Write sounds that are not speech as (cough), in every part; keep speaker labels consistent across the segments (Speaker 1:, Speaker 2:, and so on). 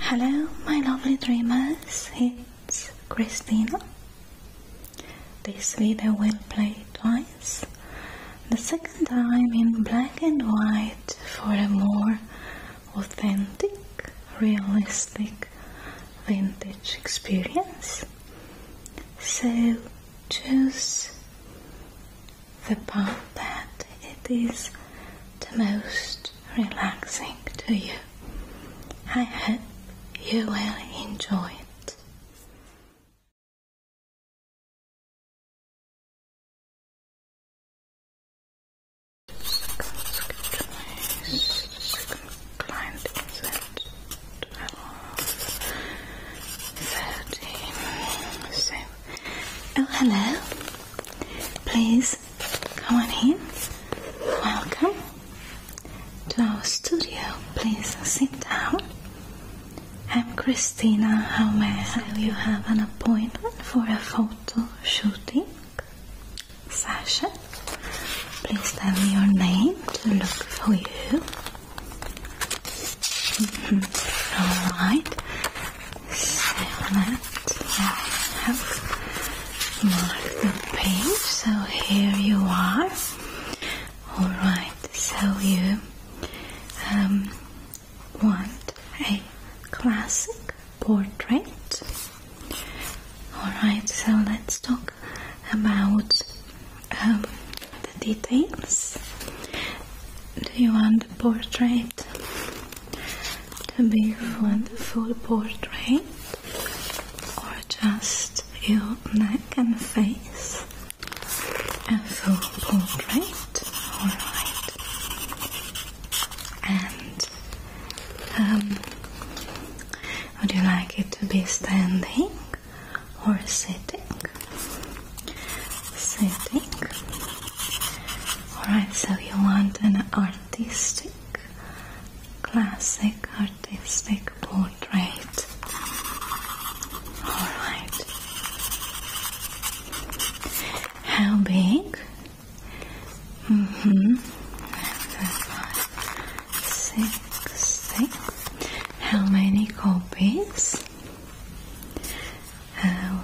Speaker 1: Hello, my lovely dreamers, it's Christina. This video will play twice. The second time in black and white for a more authentic, realistic, vintage experience. So choose the part that it is the most relaxing to you. I hope you will enjoy it. oh hello. Please Come on in. Welcome to our studio. Please sit down. I'm Christina. How may I help you? Have an appointment for a photo shooting session. Please tell me your name to look for you. (laughs) All right so let's have mark the page. So here you are. All right. So you um, want a classic portrait. All right. So let's talk about um, the details. Do you want the portrait to be a full portrait or just your neck and face a full portrait alright and um, would you like it to be standing or sitting? Sitting. Alright, so you want an artistic, classic artistic portrait. Alright. How big? Mm-hmm. Six, six. How many copies? Uh,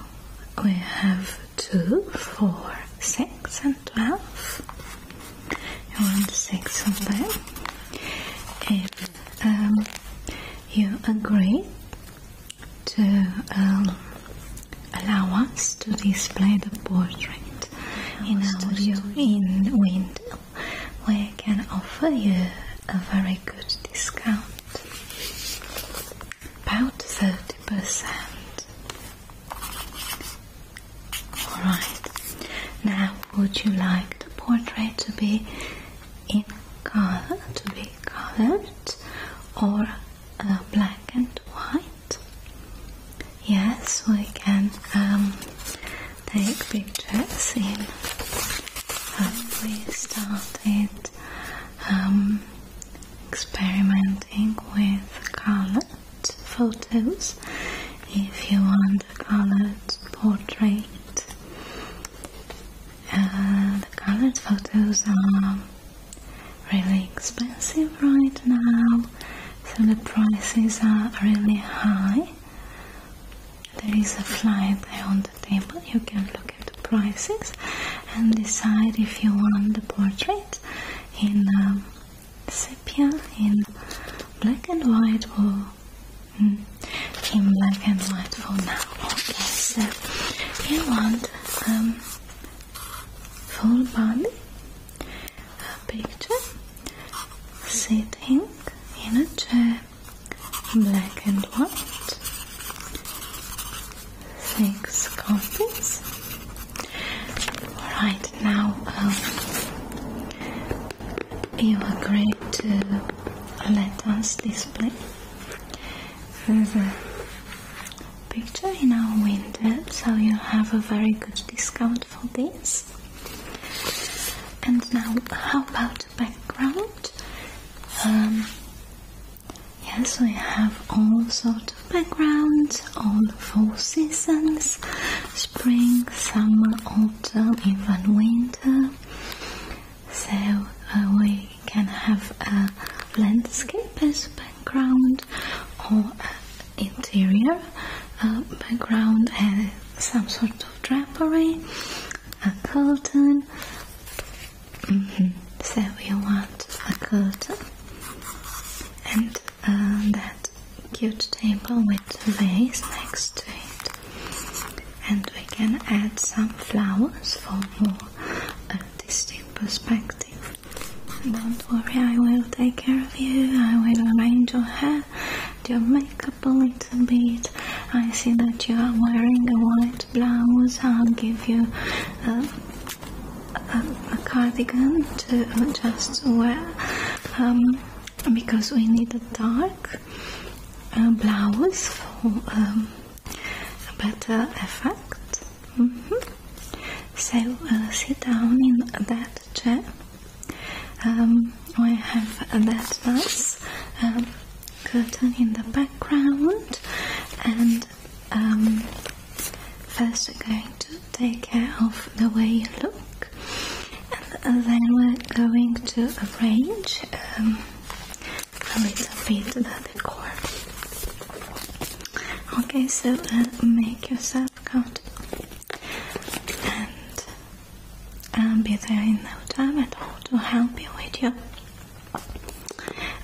Speaker 1: we have Two, four, six, and 12 you 6 and twelve. if um, you agree to um, allow us to display the portrait in our window we can offer you a very good discount about 30%. Alright, now would you like the portrait to be in color, to be colored or black and white? Yes, we can um, take pictures in. Uh, we started about um, experimenting with colored photos if you want a colored portrait. Uh, the colored photos are really expensive right now, so the prices are really high. There is a flyer on the table, you can look at the prices and decide if you want the portrait in um, sepia, in black and white, or hmm, in black and white for now. Okay, so you want um, full body picture sitting in a chair, black and white six copies. Alright, now um, you agree to let us display the picture in our window, so you have a very good discount for this. And now, how about background? Um, Yes, we have all sorts of backgrounds, all four seasons spring, summer, autumn, even winter. So uh, we can have a landscape as background or interior uh, background and some sort of drapery, a curtain, Mm -hmm. So you want a good and uh, that cute table with a vase next to it, and we can add some flowers for more artistic perspective. Don't worry, I will take care of you. I will arrange your hair, your makeup a little bit. I see that you are wearing a white blouse. I'll give you. a. Uh, um, a, cardigan to just wear um, because we need a dark uh, blouse for um, a better effect. Mm -hmm. So uh, sit down in that chair. Um, we have that nice curtain in the background and First, we're going to take care of the way you look, and then we're going to arrange um, a little bit the decor. Okay, so uh, make yourself comfortable and I'll um, be there in no time at all to help you with your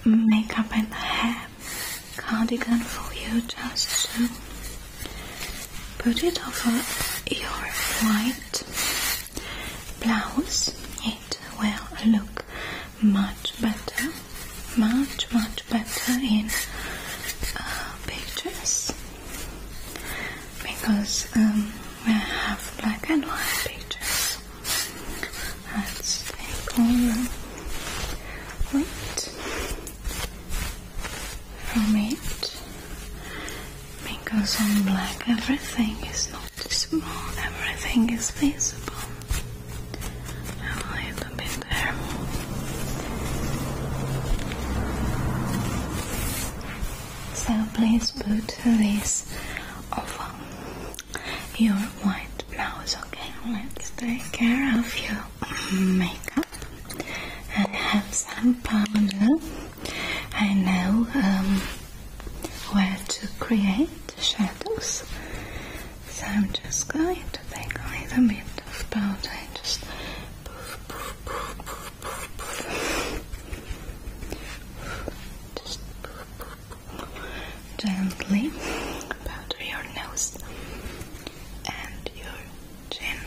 Speaker 1: makeup and hair cardigan for you just to put it over your white blouse. It will look much better, much, much better in uh, pictures because we um, have black and white pictures. That's angle point from it because on black everything is not small. everything is visible. A little bit there. So please put this over your white blouse. Okay, let's take care of your makeup. and have some powder. I know um, where to create shadows. So I'm just going to think a little bit of powder and just poof, gently powder your nose and your chin,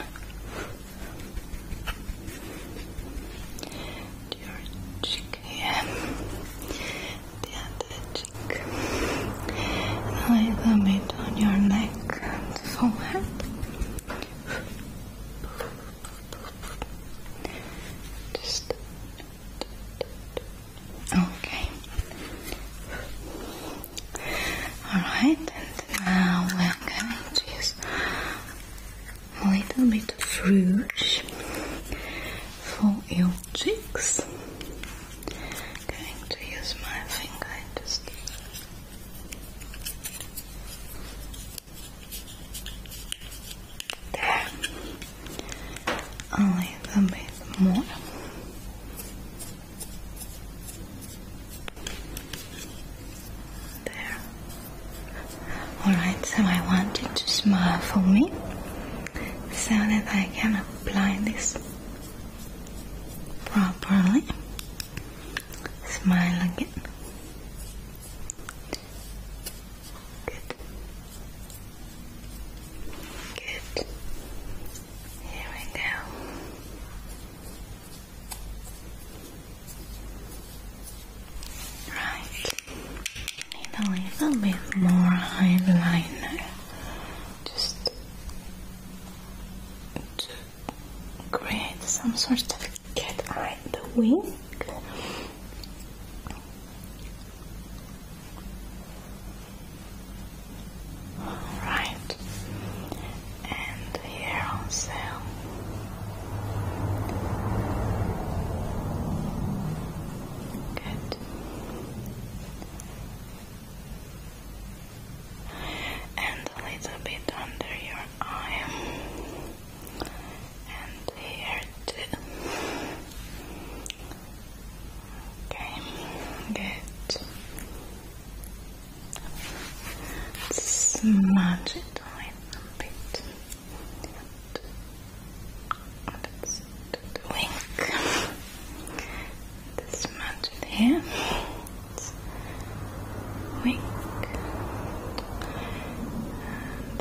Speaker 1: and your cheek here, the other cheek, a little bit on your neck and forehead. Just Okay. Alright, now we're going to use a little bit of rouge for your cheeks. going to use my finger just there a bit more. There. Alright, so I want you to smile for me so that I can apply this properly. Smile again. Good. Good. Here we go. Right. Need a little bit more eyeliner. to create some sort of cat eye the wing. Alright, and here also. Good. And a little bit under your eye. And here too. Okay, good. smudge it a bit. wink. Let's here. wink.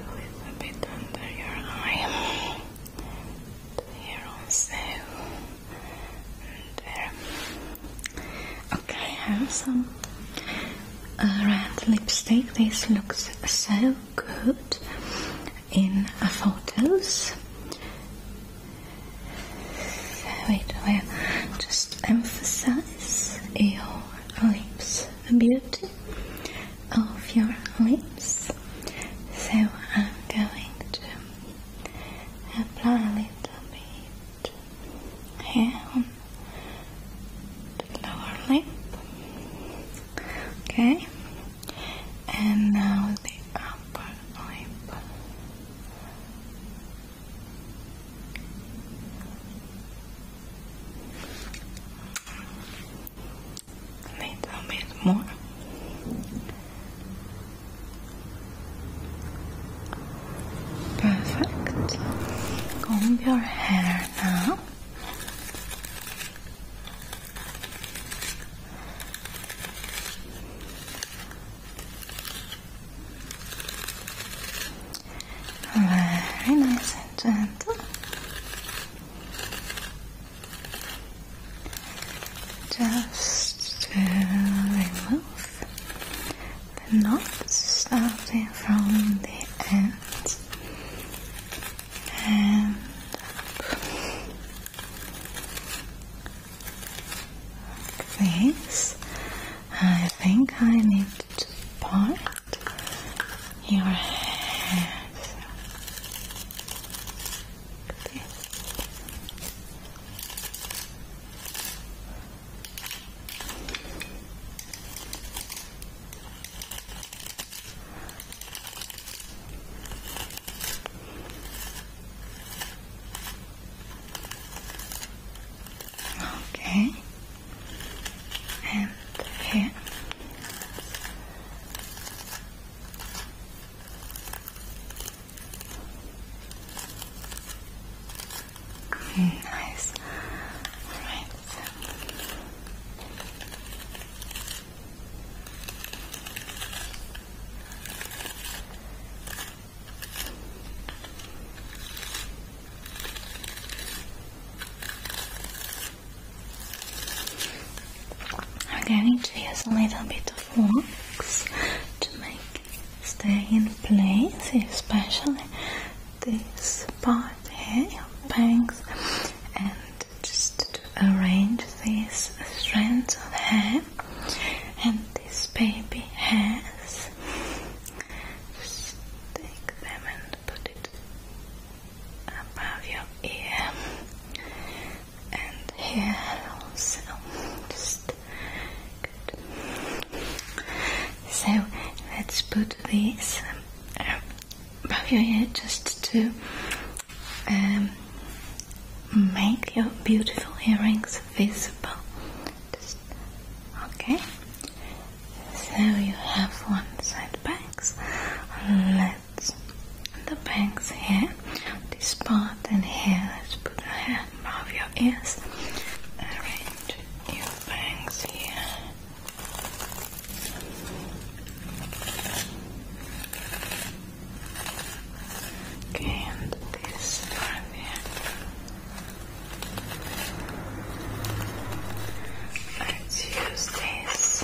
Speaker 1: a little bit under your eye here also. And um, Okay, I have some uh, red lipstick. This looks so good in photos. So it will just emphasize your lips, the beauty of your lips. So I'm going to apply a little bit here on the lower lip. Okay, and now the upper lip. Little bit more. Perfect. Comb your hair now. Very nice and gentle just to remove the knots starting from the end and this. I think I need to part your hair. Okay. Okay, and Mm, nice. All right. I'm going to use a little bit of wax to make it stay in place, especially this part here, your bangs, and just to arrange these strands of hair and this baby hairs. Just take them and put it above your ear and here also. So let's put these um, above your head just to um, make your beautiful earrings visible. okay. So you have one side back, bands the banks here. This part and here. Let's put a hand above your ears. Arrange your bangs here. and this part here. Let's use this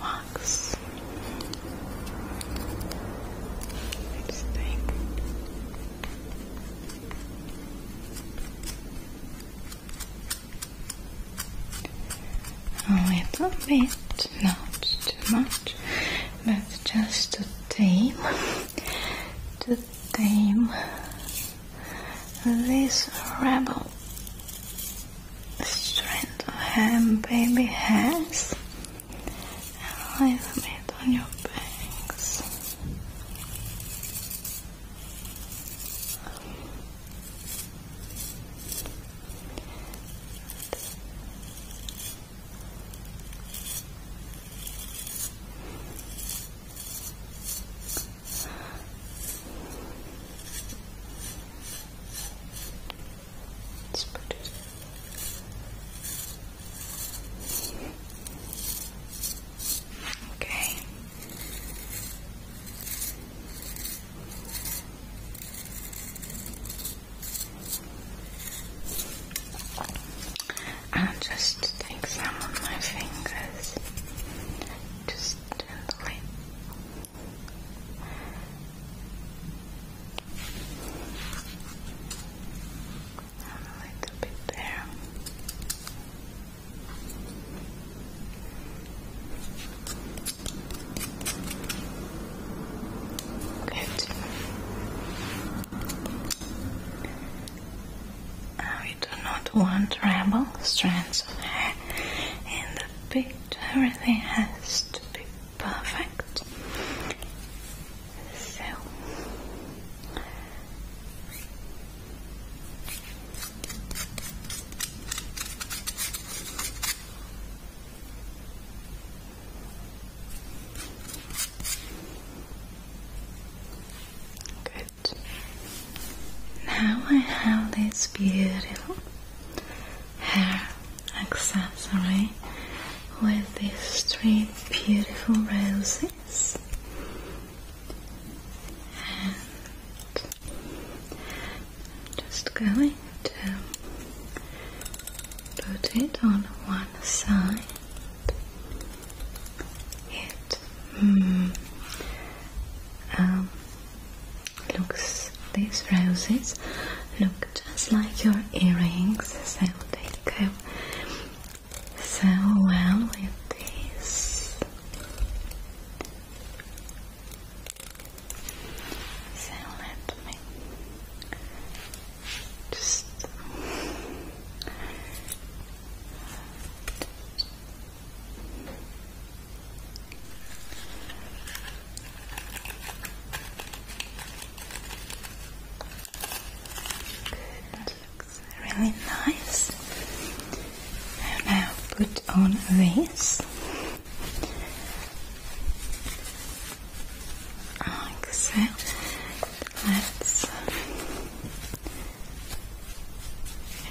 Speaker 1: wax. let A bit, not too much, but just to tame, to tame this rebel strength of hand baby has and a little on your banks it's pretty. Okay. I'll just take some of my fingers, just gently a little bit there. Good. we do not want ramble strands of hair in the perfect. Everything has to be perfect. Good. Now I have this beautiful hair accessory with these three beautiful roses. And just going to put it on one side. It mm, um, looks these roses look just like your earrings so they go so well with this so let me just Good, looks really nice. now put on this. Like Let's uh,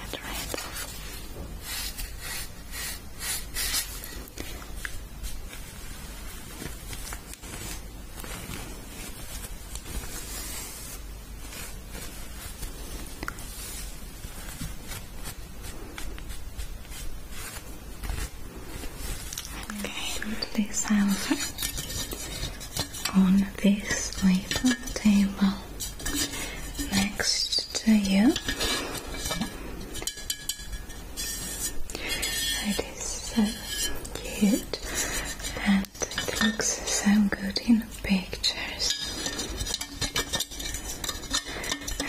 Speaker 1: get rid Okay, this out on this way table next to you. It is so cute and it looks so good in pictures.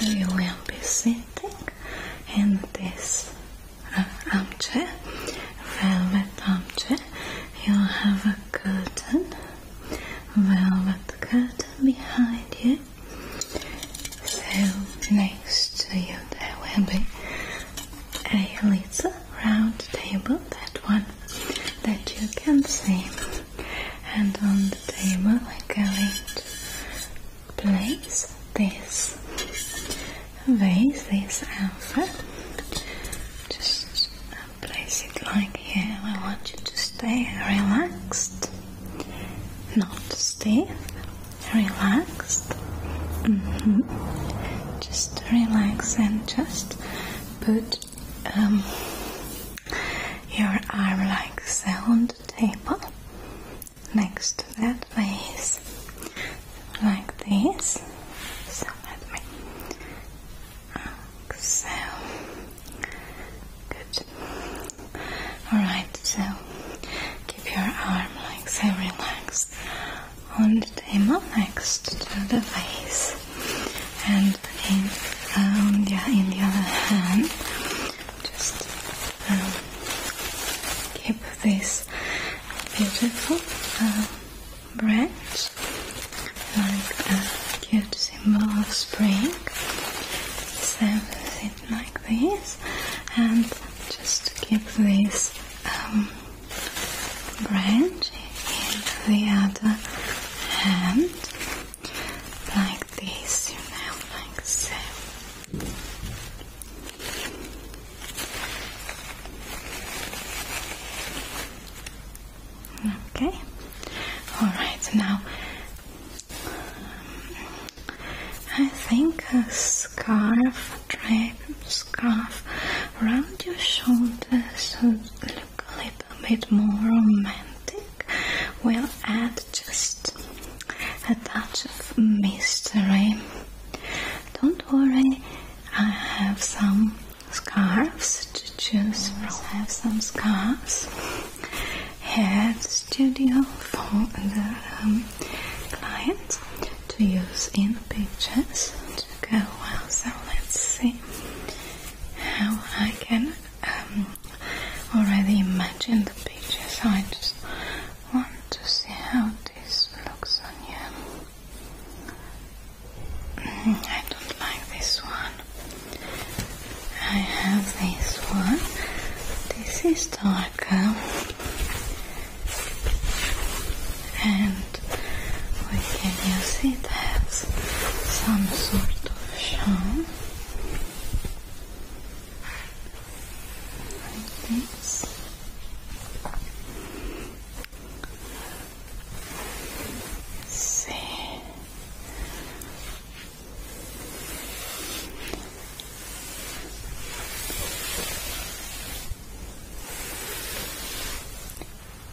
Speaker 1: You will be sitting in this uh, armchair, velvet armchair. You have a curtain velvet curtain behind you. So next to you there will be a little round table, that one that you can see. And on the table I'm going to place this vase, this alpha. Just place it like back here. I want you to stay relaxed, not stiff, relaxed. Mm-hmm. Just relax and just put um, your arm like so on the table next to that face, like this. So let me so good. Alright, so keep your arm like so relaxed on the table next to the vase, and in um, the, in the other hand just um, keep this beautiful uh, branch like a cute symbol of spring. Set it like this, and just keep this um, branch in the other hand, like this, you know, like so. Okay. All right. Now, I think a scarf, drape scarf around your shoulders would look a little bit more romantic. We'll add just a touch of mystery. Don't worry, I have some scarves to choose from. I have some scarves hair studio for the um, clients to use in pictures to go well. So let's see how I can um, already imagine the pictures. So I just want to see how this looks on you. Mm-hmm, I don't like this one. I have this one. This is darker, and we can use it as some sort of show. Like this. see.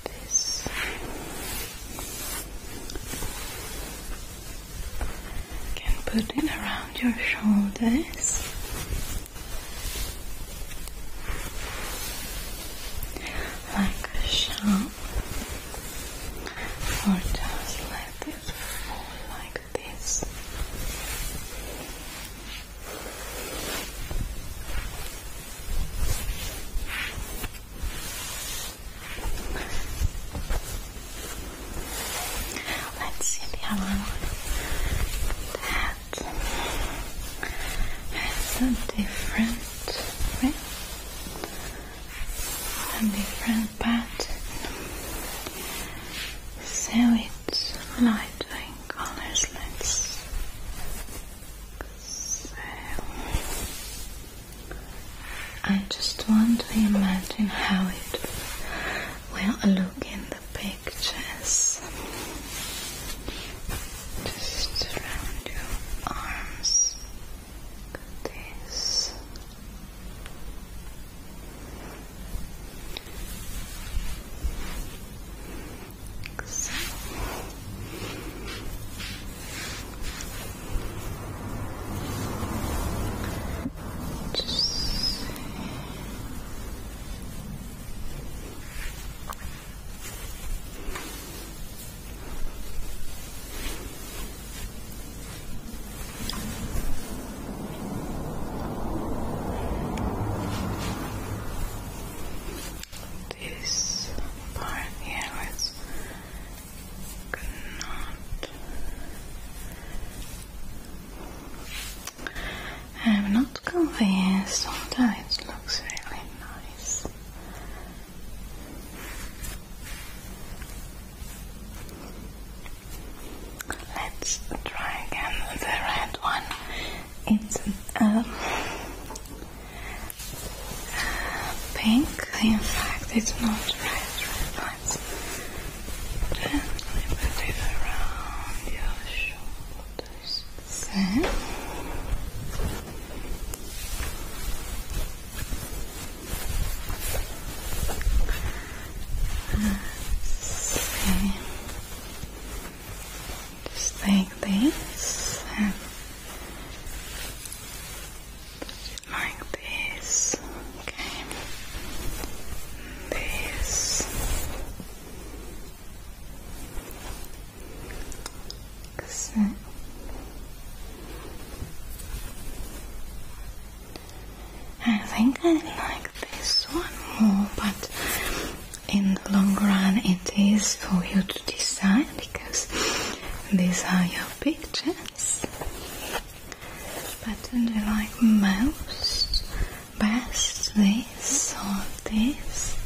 Speaker 1: This can put it around your shoulders. Like a shawl down or just let it fall like this. Let's see the other one. That a different way a different pattern so it's lighter in colors let's I just want to imagine how it will look in the pictures just around your arms this so. Just Okay. This part here not. I'm not convinced, although it looks really nice. Let's try again the red one. It's um, pink. In fact, it's not red. Let's gently it around your shoulders. Okay. Just like this, like this. Okay. This. I think I like this one more, but in the long run it is for you to decide because these are your pictures. But do you like most, best this or this?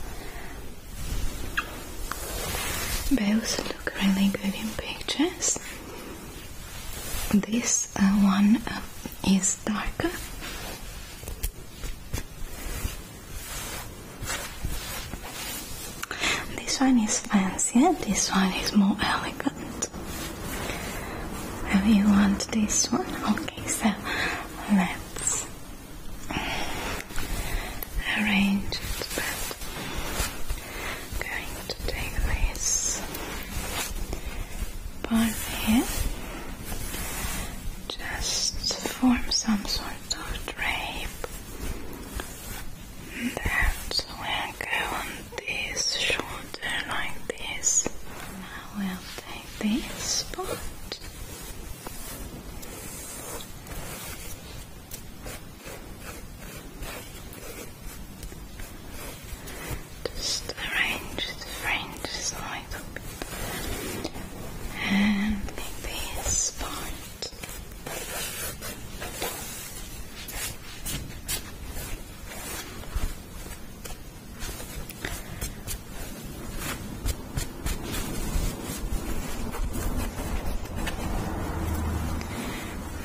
Speaker 1: Both look really good in pictures. This uh, one um, is darker. This one is fancier, this one is more elegant. Have you want this one? Okay, so let's arrange it. I'm going to take this part here, just form some sort of drape that will go on this shoulder like this. I will take this part. Just arrange the fringes like And make this part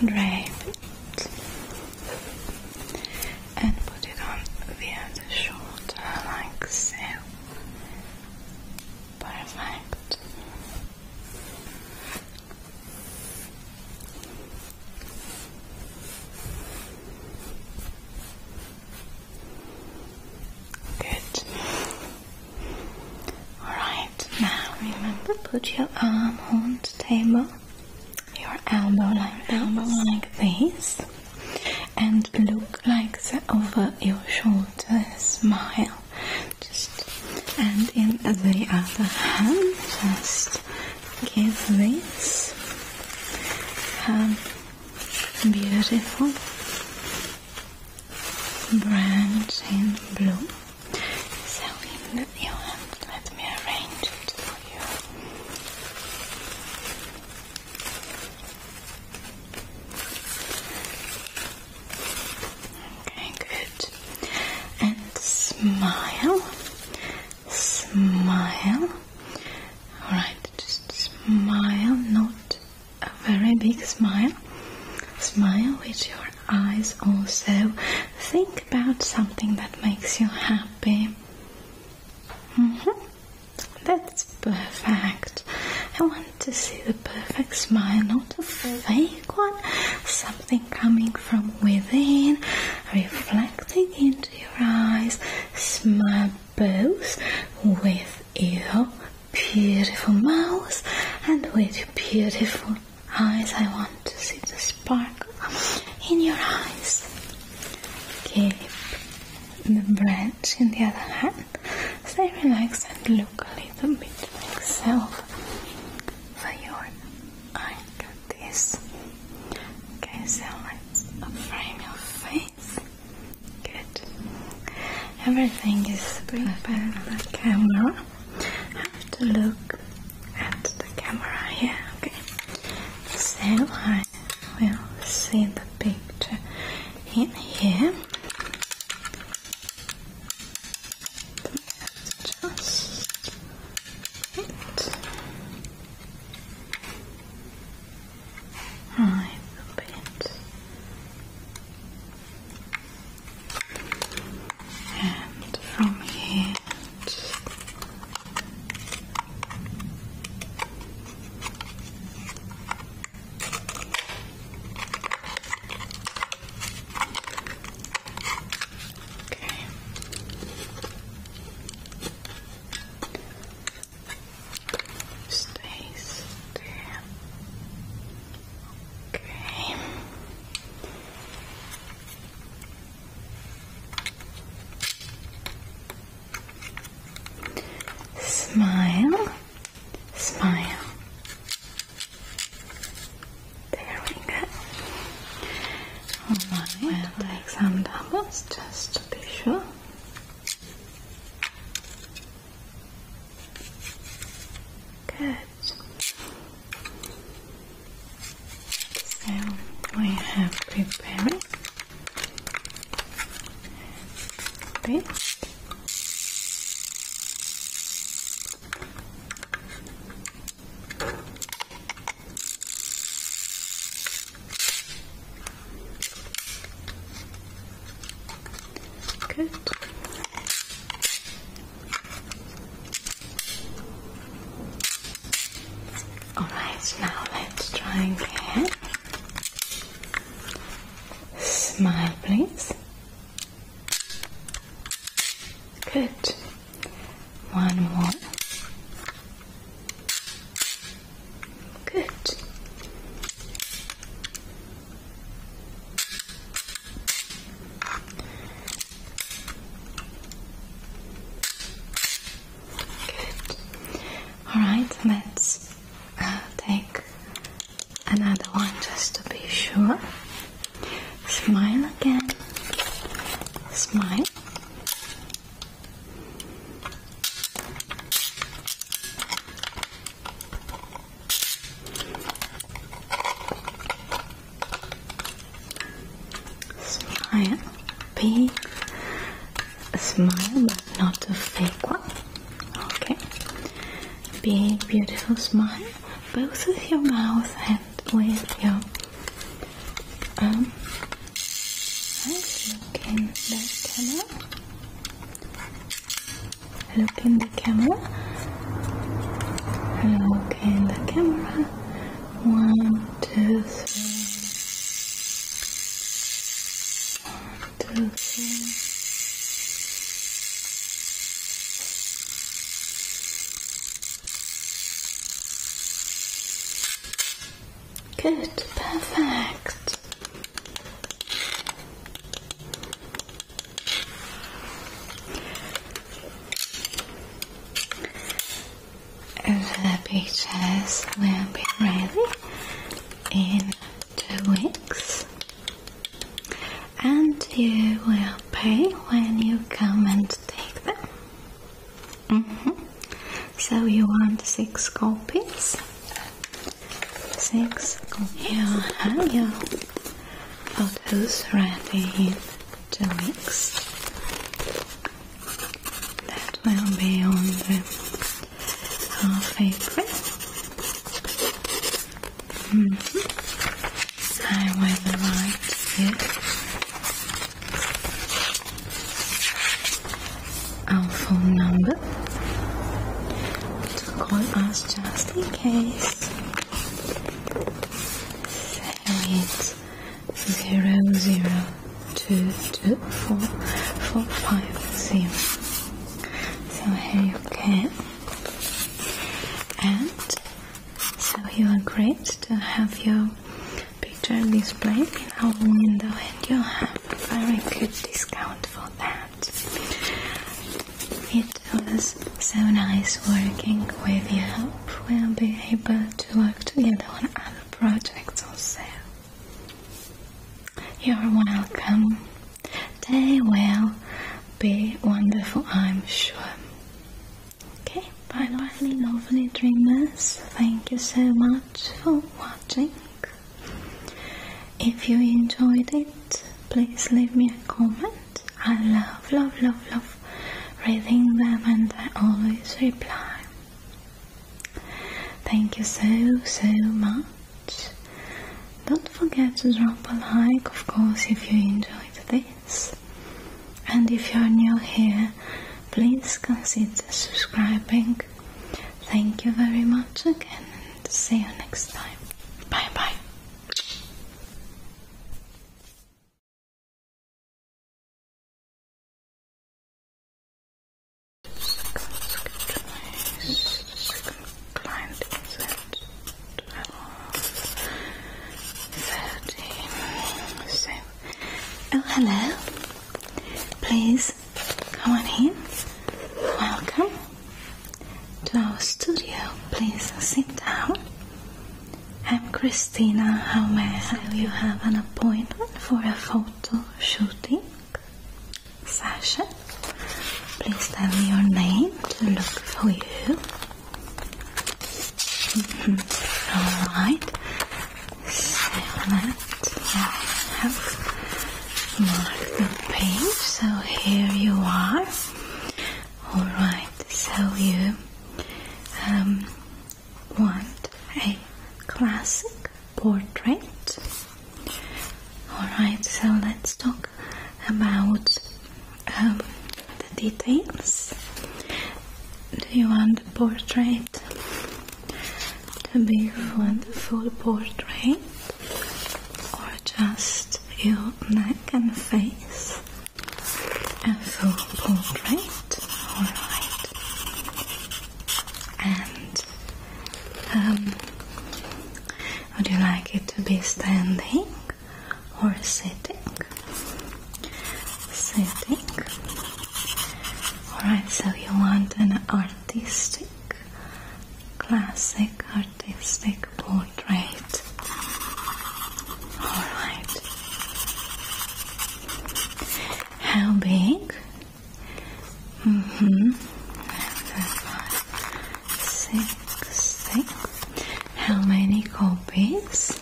Speaker 1: drape it and put it on via the shoulder like so. Perfect. Good. Alright, now remember put your arm on the table, your elbow like elbow like this, and look like over your shoulder, smile. Just and in the other hand, just give this um, beautiful branch in blue. So in the view, let me arrange it for you. Okay, good. And smile, smile. Alright, just smile, not a very big smile. Smile with your eyes also. Think about something that makes you happy. Mm-hmm. That's perfect. I want to see the perfect smile, not a fake one. Something coming from within, reflecting into your eyes. Smile both with your beautiful mouth and with your beautiful eyes. I want to see the sparkle in your eyes. Keep the branch in the other hand. Stay relaxed and look a little bit like self for your eye this. Okay, so let's frame your face. Good. Everything is good by the camera have to look at the camera here, okay? So I will see the picture in here. Just it. A little bit and from here Okay. Stays there. Okay. Smile, smile. There we go. Alright, will take some doubles just to be sure. Good. So I have prepared Good. Alright, now let's try again. Smile, please. Good. One more. Good. Alright, let's uh, take another one just to be sure. Smile again. Smile. Smile, big smile, but not a fake one. Okay, big beautiful smile, both with your mouth and with your um. Let's look in the camera look in the camera one two three one two three Good, perfect. The pictures will be ready in two weeks and you will pay when you come and take them. Mm-hmm. So you want six copies? Six copies. have your photos ready in two weeks. That will be on the half April. I will write you our phone number to call us just in case and it's 0, So here you can. And so you are great to have your picture displayed in our window and you have a very good discount for that. It was so nice working with you. Hope we'll be able to work together on other projects also. You're welcome. They will be wonderful, I'm sure. Okay, bye bye, lovely dreamers. Thank you so much for watching. If you enjoyed it, please leave me a comment. I love, love, love, love reading them and I always reply. Thank you so, so much. Don't forget to drop a like, of course, if you enjoyed this. And if you're new here, please consider subscribing. Thank you very much again and see you next time. Bye bye. Client is at So, oh hello, please come on in, welcome to our studio. Please sit down. I'm Christina How may I Will you have an appointment for a photo shooting session? Please tell me your name to look for you. Mm-hmm. All right. So let's mark the page. So here you are. Alright, so you um, want a classic portrait? Alright, so let's talk about um, the details. Do you want the portrait to be a full portrait or just just your neck and face. A full portrait, alright. And um, would you like it to be standing or sitting? Sitting. Alright, so you want an artistic, classic artistic portrait right? Alright. How big? Mm-hmm. Six, six. How many copies?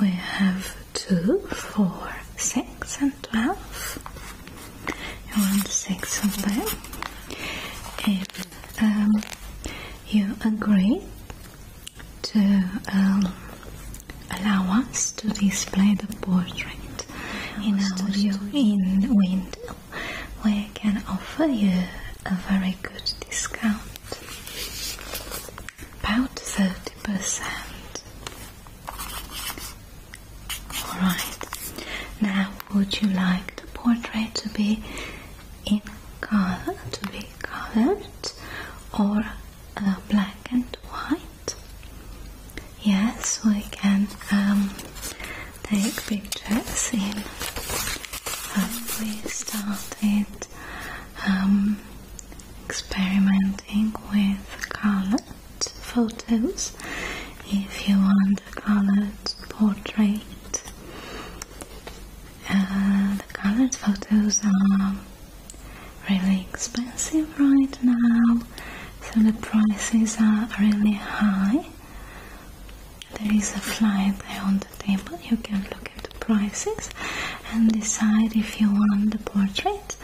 Speaker 1: we have two, four, six, and twelve. You want six of them? Um, you agree to um, allow us to display the portrait in our view in window, we can offer you a very good discount, about thirty percent. All right. Now would you like the portrait to be in color, to be colored, or uh, black and white? Yes, we can um, take pictures in. Uh, we started um, experimenting with colored photos. If you want colored portrait. Uh, the colored photos are really expensive right now, so the prices are really high. There is a flyer on the table, you can look at the prices and decide if you want the portrait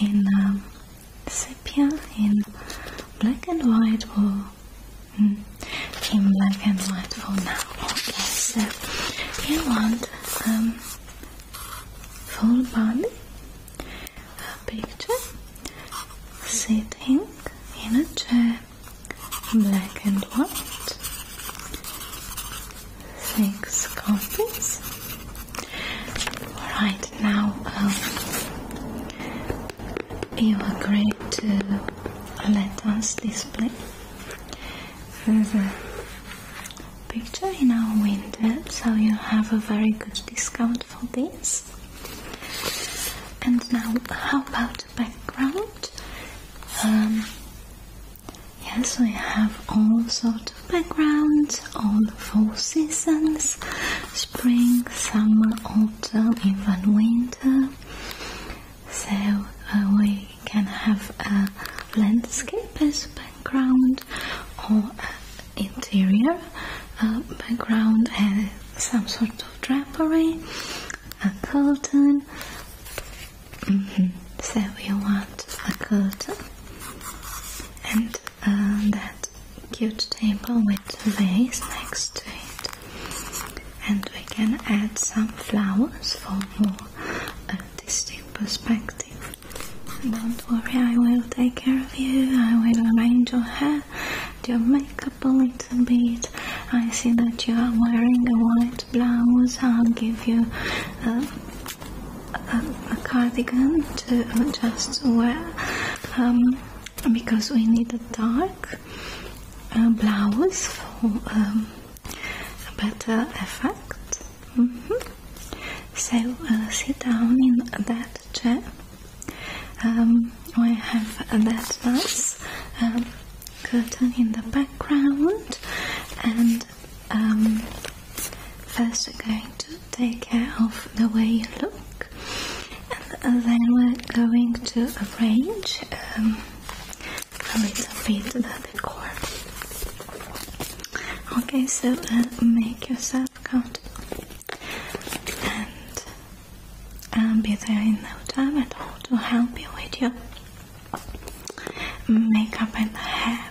Speaker 1: in um, sepia, in black and white, or in hmm. black and white for now. Okay, so uh, you want um, full body picture sitting in a chair, black and white, six copies. Alright, now um, you agree to let us display the picture in our window, so you have a very good discount for this. And now, how about background? Um, yes, we have all sorts of backgrounds, all four seasons, spring, summer, autumn, even winter. So uh, we can have a landscape as background or interior uh, background and some sort of drapery, a curtain. Mm -hmm. So you want a curtain and uh, that cute table with vase next to it and we can add some flowers for more artistic perspective don't worry I will take care of you I will arrange your hair do your makeup a little bit I see that you are wearing a white blouse I'll give you a, a, cardigan to just wear um, because we need a dark uh, blouse for um, a better effect mm-hmm. so uh, sit down in that chair um, we have that nice um, curtain in the background and um, first we're going to take care of the way you look and then we're going to arrange um, a little bit the decor. Okay, so make yourself comfortable and I'll um, be there in no time at all to help you with your makeup and hair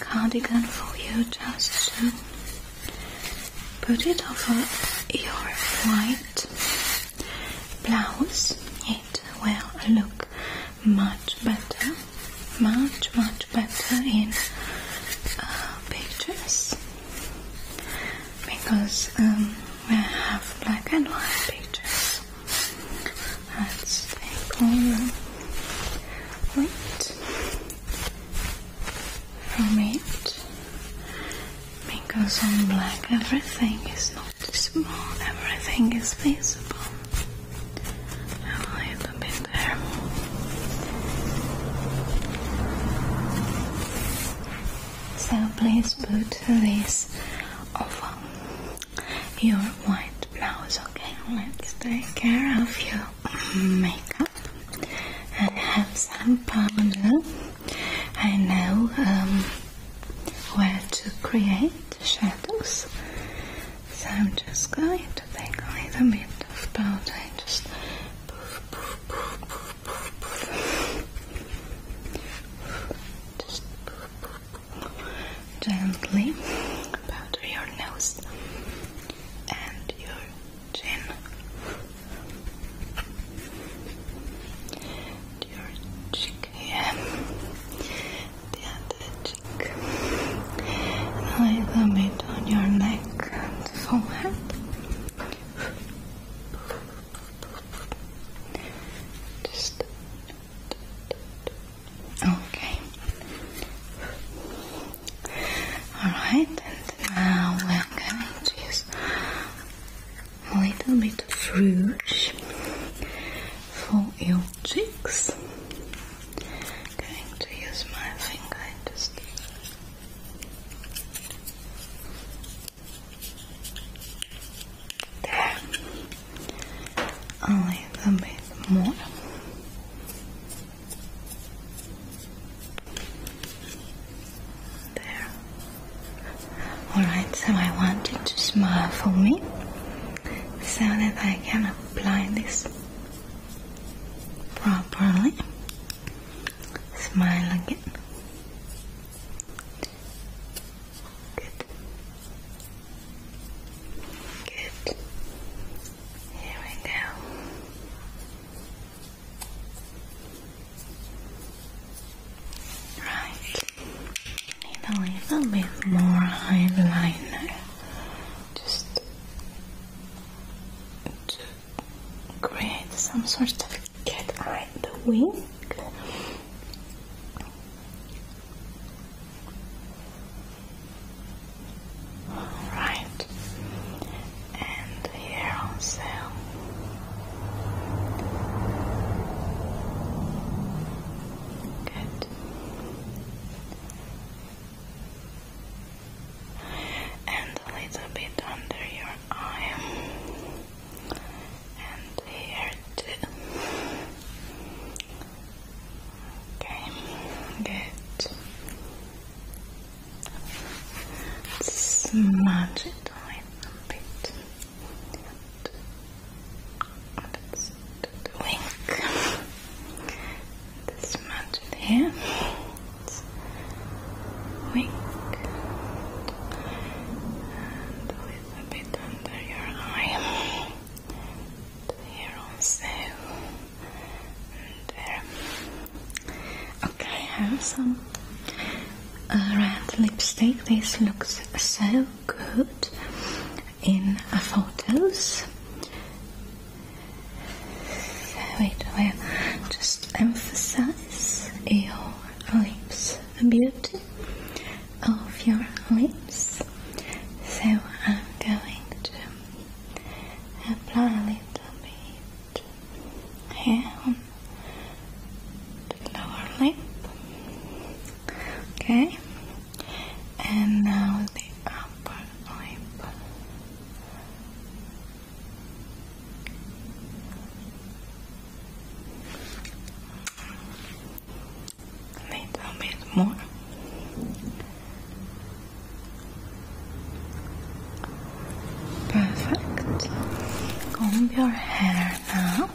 Speaker 1: cardigan for you just to put it over your white blouse. It will look much better, much, much better in uh, pictures because um, we have black and white pictures. Let's take all weight from because on black everything is not small, everything is visible. A little bit there. So please put this over your white blouse, okay? Let's take care of your makeup. and have some powder. I know um, where to create the shadows. So I'm just going to take a little bit of powder and just poof, poof, poof, gently powder your nose and your Ten, your cheek the other cheek, and a little on your neck and forehead. Just okay. All right, now we're going to use a little bit rouge for your cheeks. going to use my finger just there. A little bit more. Alright, so I want you to smile for me so that I can apply this properly. Smile again. Good. Good. Here we go. Right. Need a little bit more eyeliner. Just to create some sort of cat eye the wing. Alright and here on sale. Good. And a little bit under your eye. And here too. Okay, good smudge it a little bit and let wink smudge it wink and a bit under your eye here also and there Okay, I have some uh, red lipstick. This looks so good in photos. Wait, I just emphasize your lips, the beauty of your lips. So I'm going to apply a little bit here um, lower lip. Okay, and now the upper lip. A little bit more. Perfect. Comb your hair now.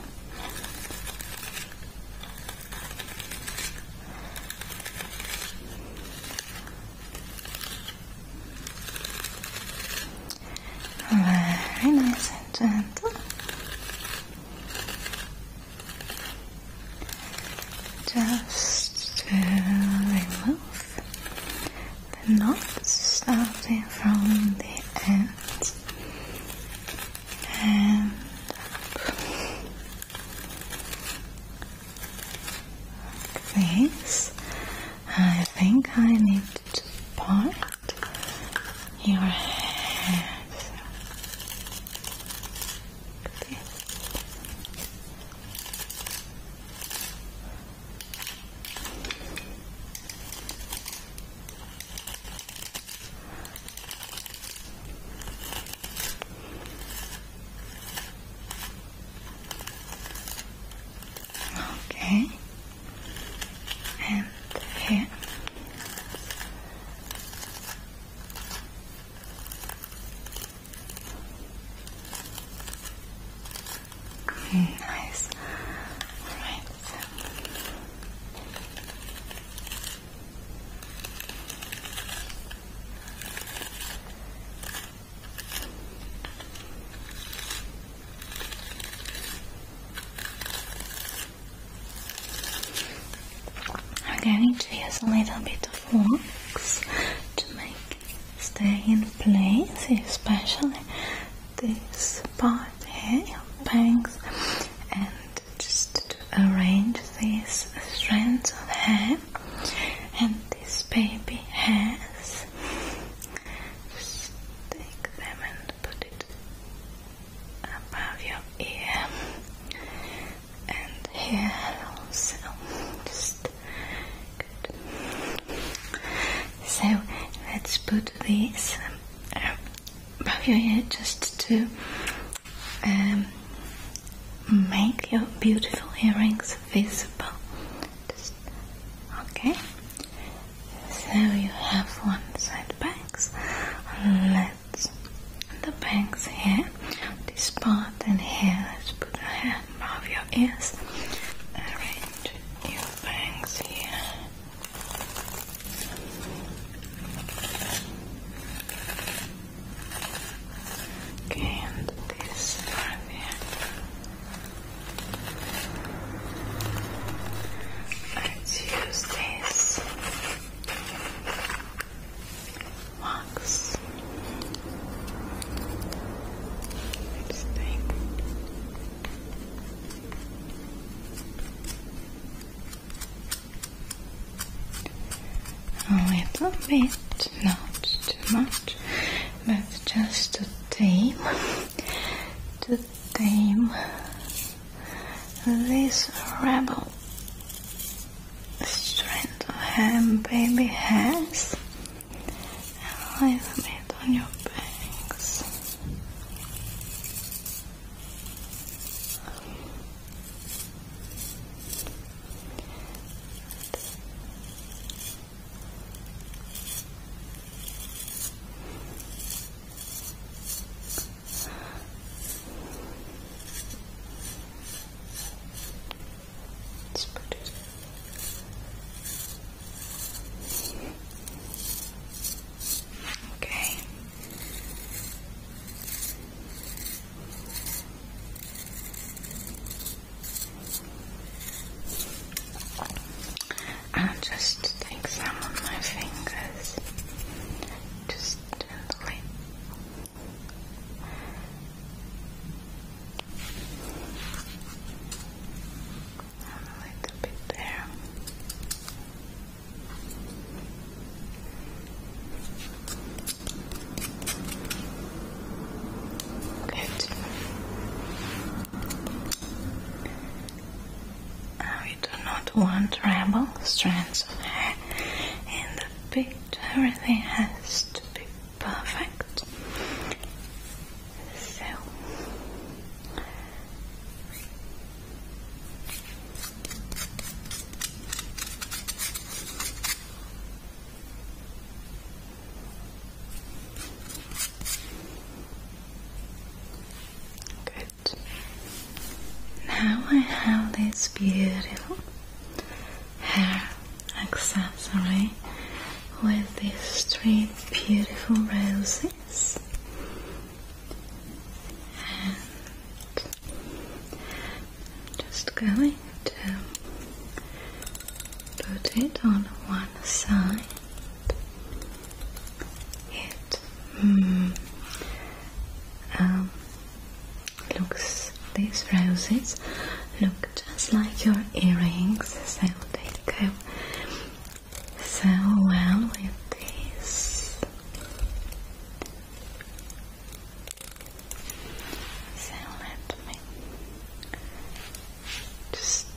Speaker 1: Very nice and gentle. Just to remove the knot starting from the end this. I think I need to part your hair. Okay, and here right. I'm going to use a little bit of wax to make stay in place, especially this part here, your bangs, and just to arrange these strands of hair. And this baby has take them and put it above your ear and here also so let's put this um, above your head just to um, make your beautiful earrings visible. okay. So you have one side bangs. Let's the bangs here, this part and here. Let's put the hair move your ears. Arrange your bangs here. and this part here. Let's use this wax. Let's take a little bit, not too much, but just to tame, to tame this rebel strand of ham baby has and a little bit on your bangs. It's pretty Okay. I'll just take my fingers, just gently and a bit there. Good. we do not want ramble strands of hair in the picture. Everything has to be perfect. So Good. Now I have this beautiful hair accessory with these three beautiful roses and I'm just going to put it on one side it mm, um, looks these roses look just like your earrings so they go so well with this. So let me Just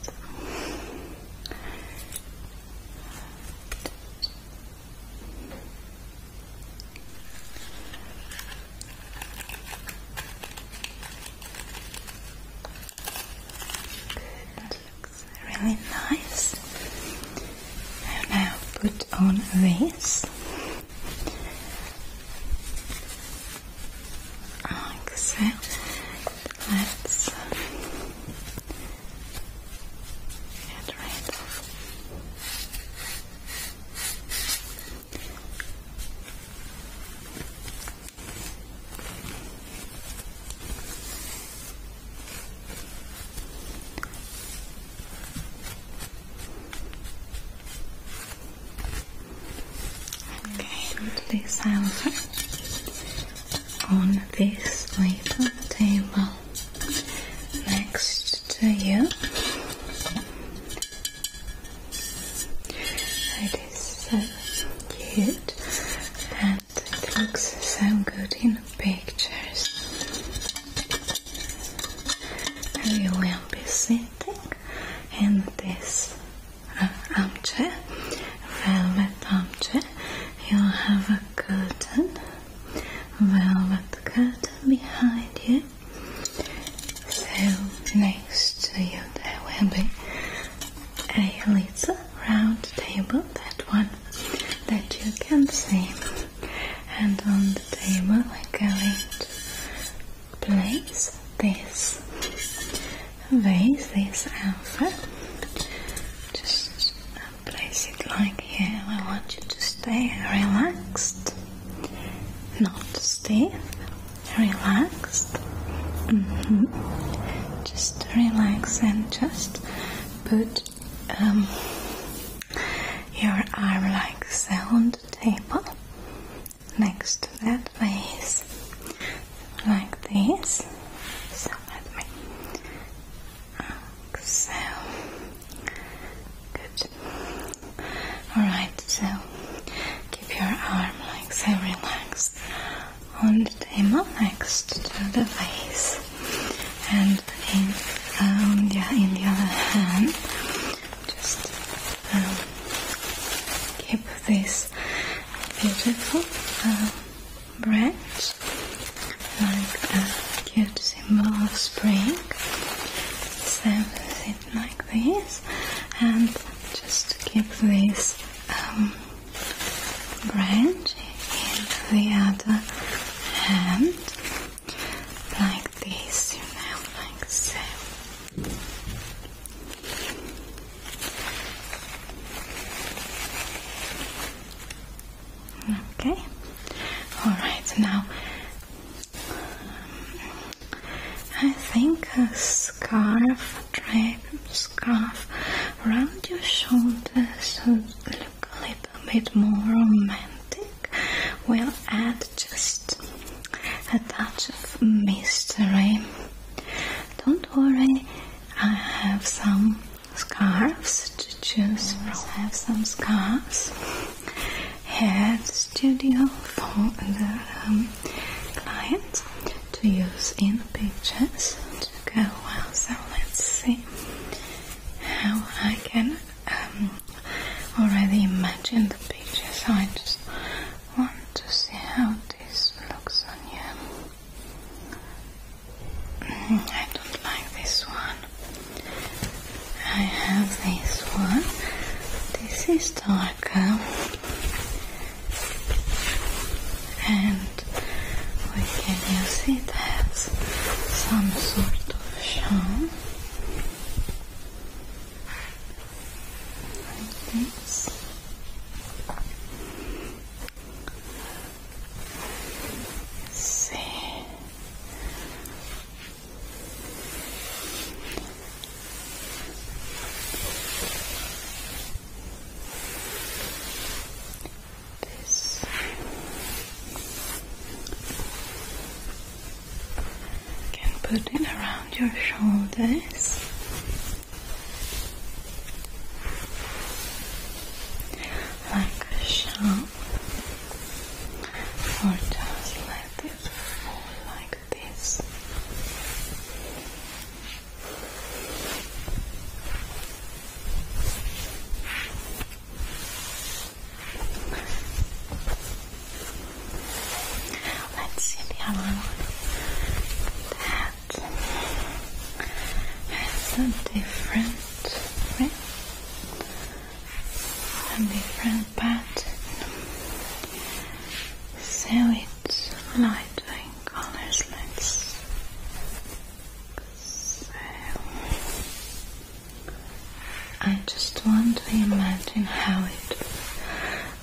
Speaker 1: Good, looks really nice. now put on this. Like Let's uh, get rid of Okay, put this over on this little table next to you. It it's so cute and it looks so good in pictures. You will be sitting in this armchair, velvet armchair. You have a curtain, velvet curtain behind you. So next to you there will be a little round table, that one that you can see. And on the table I are going to place this place this alpha. Just place it like here. I want you to stay relaxed, not stiff relaxed. Mm-hmm. Just relax and just put um, your arm like so on the table next to that face, like this. So Good. Alright, so keep your arm like so relaxed on the table next to the face, and in, um, in the other hand, just um, keep this beautiful um, branch like a cute symbol of spring. So sit like this, and just keep this branch in the other hand, like this, you know, like so. Okay, all right, now um, I think. Uh, scarf, wrap scarf around your shoulders so look a little bit more romantic. We'll add just a touch of mystery. Don't worry, I have some scarves to choose from. I have some scarves. Head studio for um, clients to use in the pictures to go well. So let's see how I can um, already imagine the pictures. I just want to see how this looks on you. Mm-hmm, I don't like this one. I have this one. This is darker and we can use it as some sort of charm like this see can put it around your shoulders. Like a sharp, or just let it fall like this. Let's see the other one. That has a different different pattern, so it's lighter colors. let I just want to imagine how it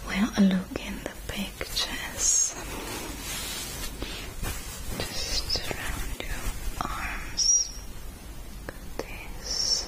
Speaker 1: will look in the pictures. Just around your arms. this.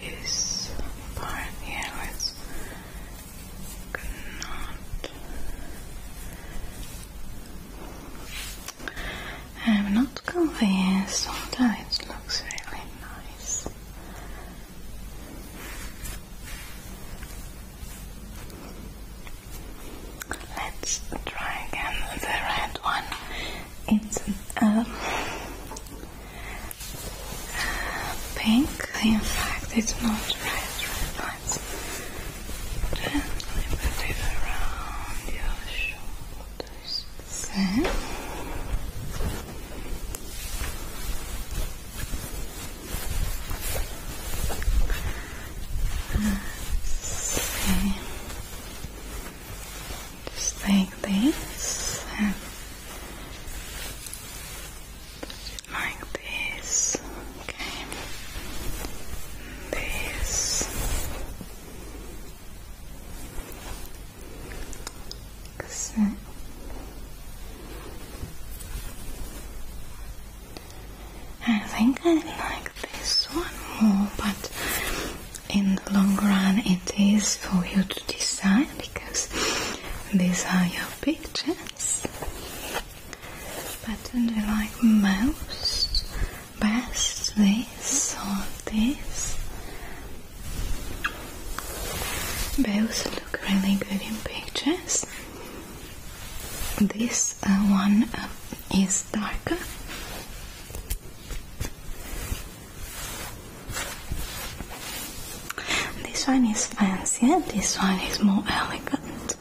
Speaker 1: This part here was not. I'm not convinced, although it looks really nice. Let's try again the red one. It's uh, pink. In fact, it's not red. Let's gently it around your shoulders. So. see just like this and like this, okay, this, so. I think I like like this one more, but in the long run, it is for you to decide because these are your pictures. But do you like most, best this or this? Both look really good in pictures. This uh, one uh, is is This one is fancier, this one is more elegant.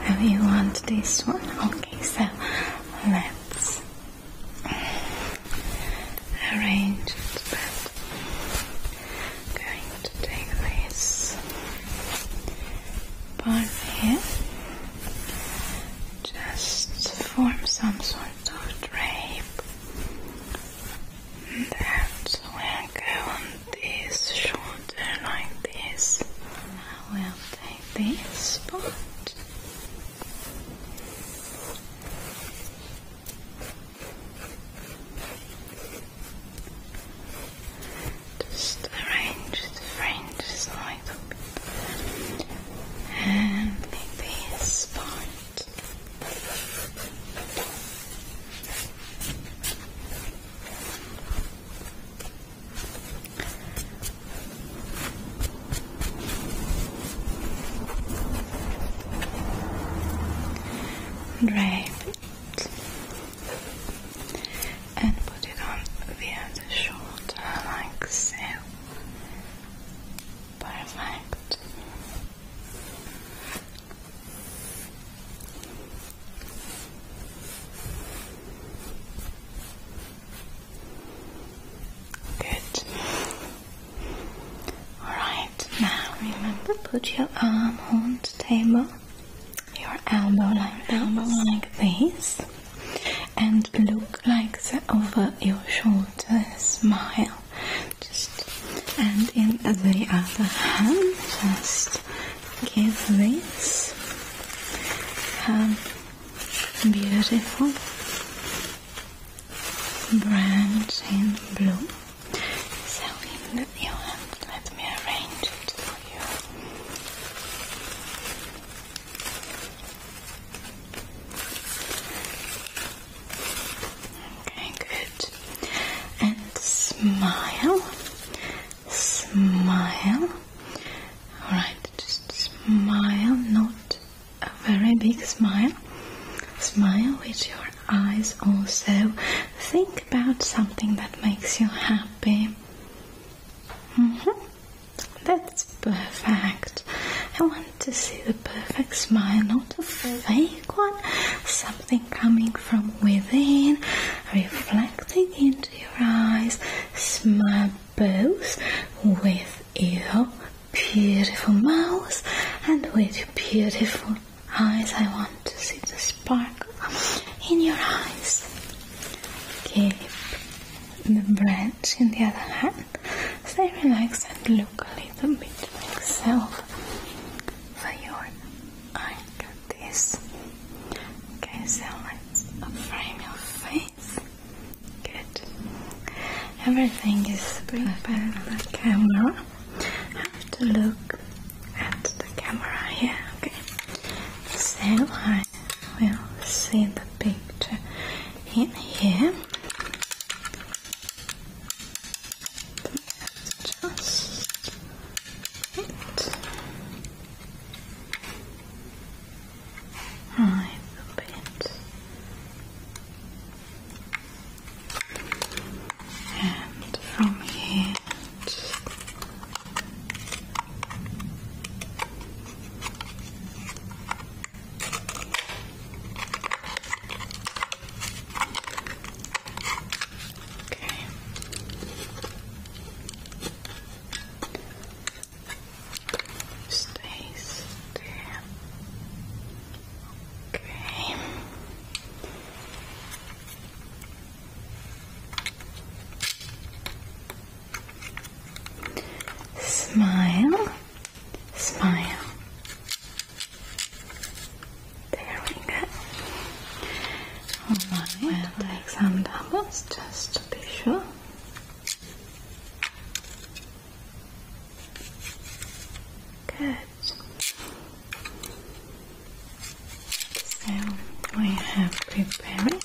Speaker 1: Have you want this one? Okay, so let's arrange I'm going to take this part here just form some sort of drape that will go on this shoulder like this. I will take this part just arrange the fringes like that and make this part drape and put it on the other the like so. Perfect. Good. Alright, now remember put your arm on the table your elbow like this and look like the over your shoulder smile just and in the other hand just give this um, beautiful branch in blue so in the your hand let me arrange it for you Okay, good. And smile. Smile. Alright, just smile, not a very big smile. Smile with your eyes also. Think about something that makes you happy. Mm -hmm. That's perfect. I want to see the perfect smile, not a fake one. Something coming from within, reflecting into your eyes. Smile both with your beautiful mouth and with your beautiful eyes. I want to see the sparkle in your eyes. Keep the branch in the other hand. Stay relaxed and look a little bit like self for your eye this. Okay, so let's frame your face. Good. Everything is prepared on the camera. Have to look at the camera here, okay? So I we will see the picture in here. Just it. Right bit. And from here, Okay. Stays Okay. Smile, smile. There we go. Alright, we'll some doubles just to be sure. Good. So we have prepared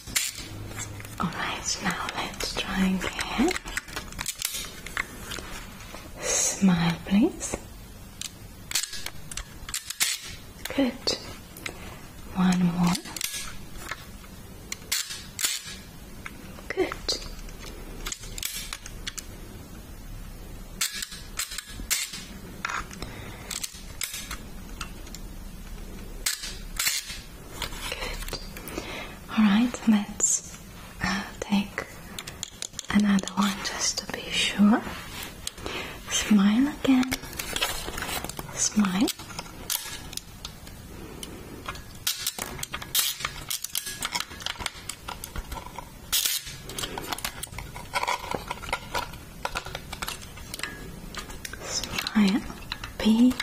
Speaker 1: Alright, now let's try again. Smile, please. Good. One more. Good. Good. Alright, let's uh, take another one just to be sure. Smile again. Smile. Smile. Big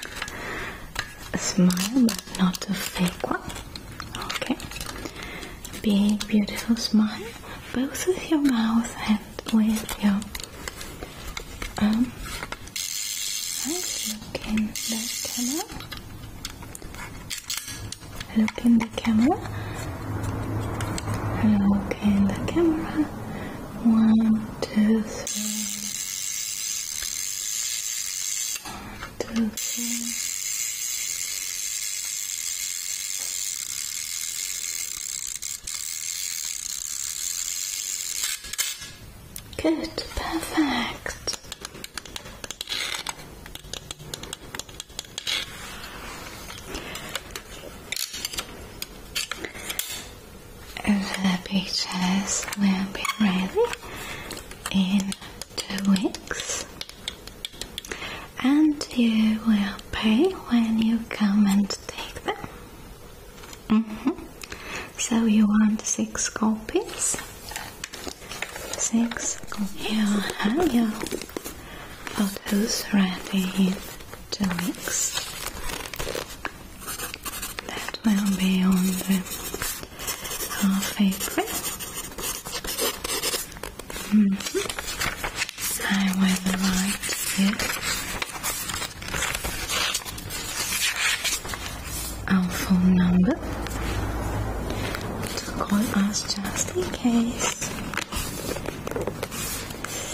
Speaker 1: a smile, but not a fake one. Okay. Big, beautiful smile, both with your mouth and with your um. Nice. Look in the camera. Look in the camera. Look in the camera. One, two, three, one, two, three. Good, perfect the pictures will be ready in two weeks and you will pay when you come and take them mm-hmm. so you want six copies six copies. you have your photos ready in two weeks that will be on the half mm-hmm. I will write it phone number to call us just in case.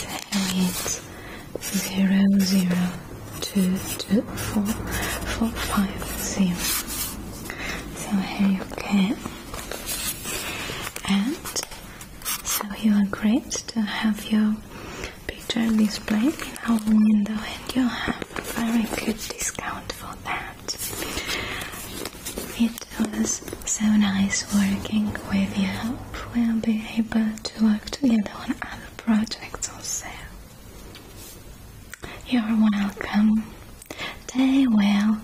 Speaker 1: So it's zero zero two two four four five zero. So here you can, and so you are great to have your picture displayed in our window, and you will have a very good discount for that. It was so nice working with you. We'll be able to work together on other projects also. You're welcome. They will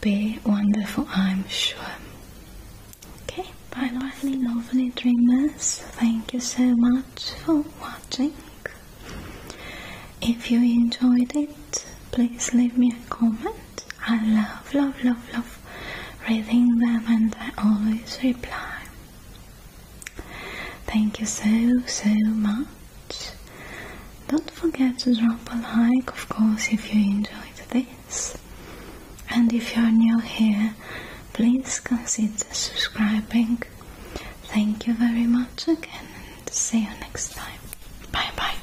Speaker 1: be wonderful, I'm sure. Okay, bye, lovely, lovely dreamers. Thank you so much for watching. If you enjoyed it, please leave me a comment. I love, love, love, love reading them and I always reply. Thank you so, so much. Don't forget to drop a like, of course, if you enjoyed this. And if you're new here, please consider subscribing. Thank you very much again and see you next time. Bye bye.